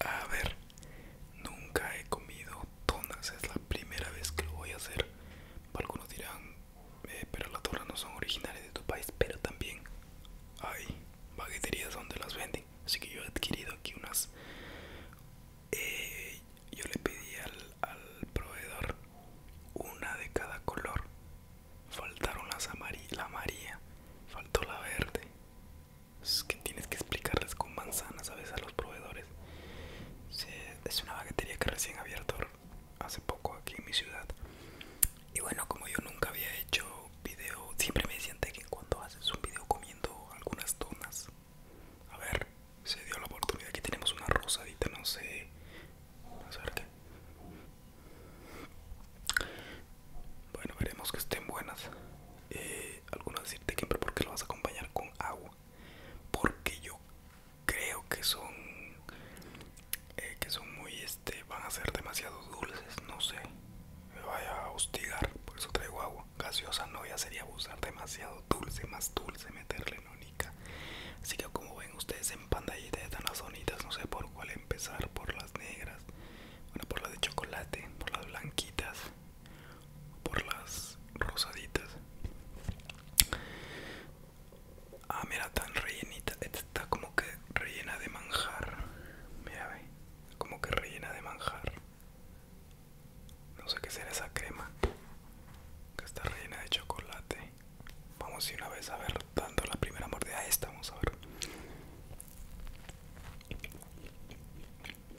A ver, nunca he comido tonas es la primera vez que lo voy a hacer. Algunos dirán, eh, pero las torras no son originales de tu país, pero también hay bagueterías donde las venden. Así que yo he adquirido aquí unas. Eh, yo le pedí al, al proveedor una de cada color. Faltaron las amarillas, la amarilla, faltó la verde. Es que tienes que explicarles con manzanas a veces a los proveedores es una baguetería que recién abierto hace poco aquí en mi ciudad y bueno como yo nunca había hecho video siempre me siente que cuando haces un video comiendo algunas donas a ver se dio la oportunidad aquí tenemos una rosadita no sé a ver qué bueno veremos que estén buenas eh, algunos decirte que siempre porque lo vas a acompañar con agua porque yo creo que son eh, que son muy este van a ser demasiado dulces no sé me vaya a hostigar por eso traigo agua gaseosa no ya sería abusar demasiado dulce más dulce meterle única así que como ven ustedes en pantallita están las bonitas no sé por cuál empezar por las negras bueno por las de chocolate por las blanquitas por las rosaditas. Ah, mira, tan rellenita. Esta está como que rellena de manjar. Mira, ve. Como que rellena de manjar. No sé qué será esa crema. Que está rellena de chocolate. Vamos a una vez a ver, dando la primera mordida. esta vamos a ver.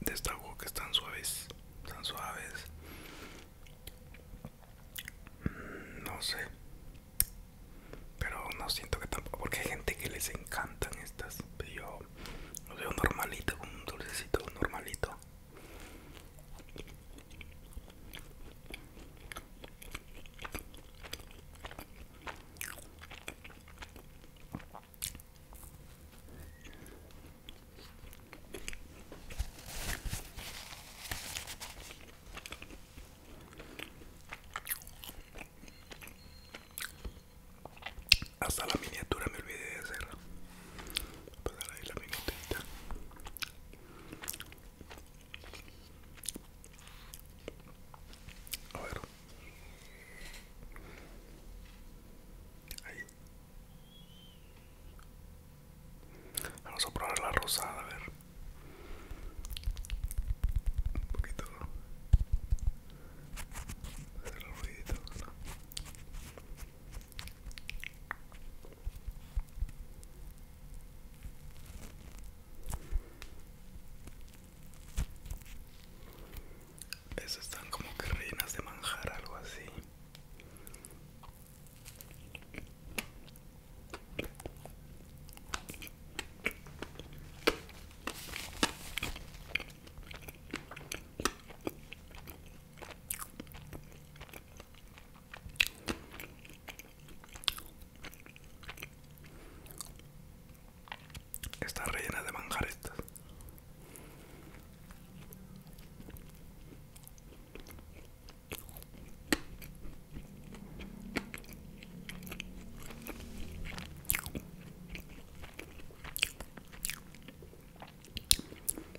destaco que están suaves tan suaves mm, no sé pero no siento que tampoco porque hay gente que les encantan estas pero yo lo veo normalito un dulcecito normalito hasta la miniatura me olvidé de hacerla. Pasar ahí la miniatura. A ver. Vamos a probar la rosada, a ver. Un poquito. A ver ruiditos, esas están como que rellenas de manjar, algo así. Está rellena de manjares.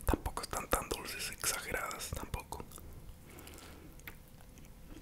Tampoco están tan dulces, exageradas, tampoco.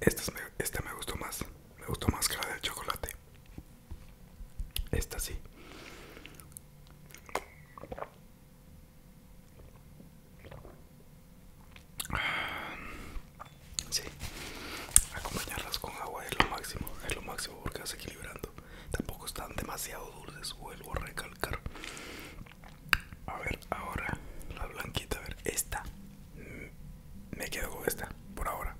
Esta me, me gustó más, me gustó más que la del chocolate. Esta sí. Sí, acompañarlas con agua es lo máximo, es lo máximo porque vas equilibrando. Tampoco están demasiado dulces, vuelvo a recalcar. A ver, ahora la blanquita, a ver, esta. Mm, me quedo con esta, por ahora.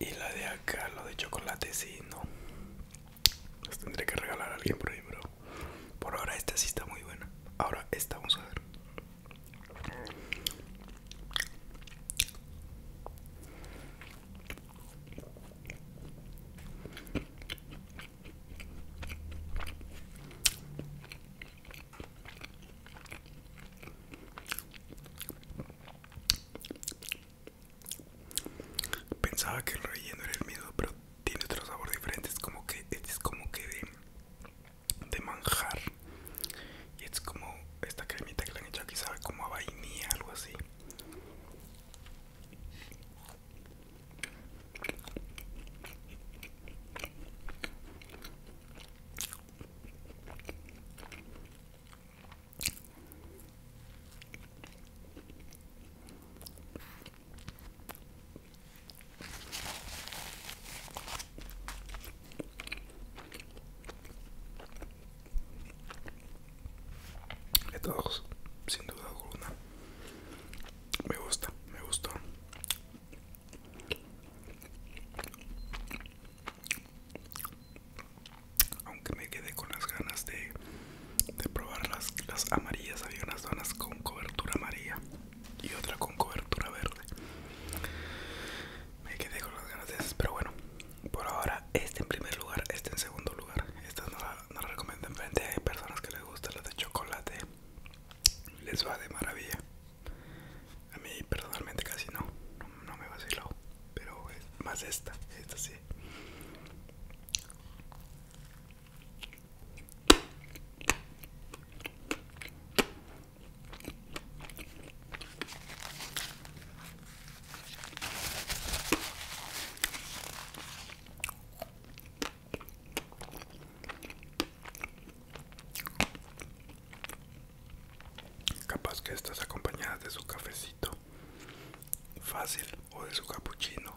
Y la de acá, lo de chocolate, sí, no. Las tendré que regalar a alguien por ahí, pero por ahora esta sí está muy buena. Ahora esta, vamos a ver. Pensaba que el relleno era el miedo, pero tiene otro sabor diferente. Es como que es como que de de manjar y es como esta cremita que le han hecho aquí como a vainilla algo así de todos, sin duda alguna. Me gusta, me gustó. Aunque me quedé con las ganas de, probar las, amarillas, había unas donas con cobertura amarilla y otra con cobertura verde. Me quedé con las ganas pero bueno, por ahora este en primer lugar, este en segundo lugar. Estas no la recomiendo enfrente, hay personas que les gusta las de chocolate, les va de maravilla. A mí personalmente casi no, no, me vacilo pero más esta, esta sí. Capaz que estás acompañada de su cafecito fácil o de su capuchino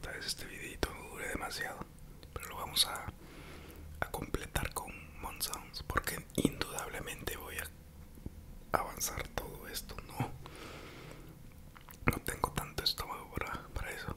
Tal vez este videito no dure demasiado, pero lo vamos a, a completar con Monsounds porque indudablemente voy a avanzar todo esto, no, no tengo tanto estómago para eso.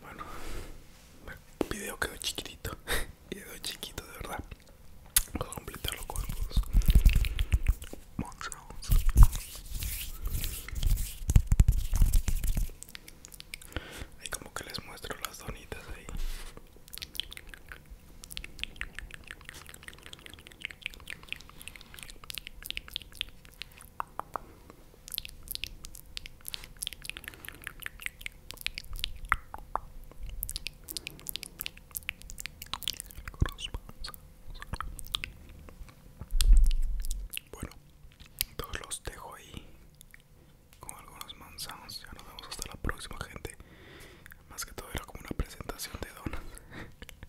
Bueno, el video quedó chiquitito, quedó chiquito de verdad. Vamos a completarlo con los monstruos. Ahí como que les muestro las donitas ahí. Bueno, todos los dejo ahí con algunos manzanos. Ya nos vemos hasta la próxima, gente. Más que todo era como una presentación de donas.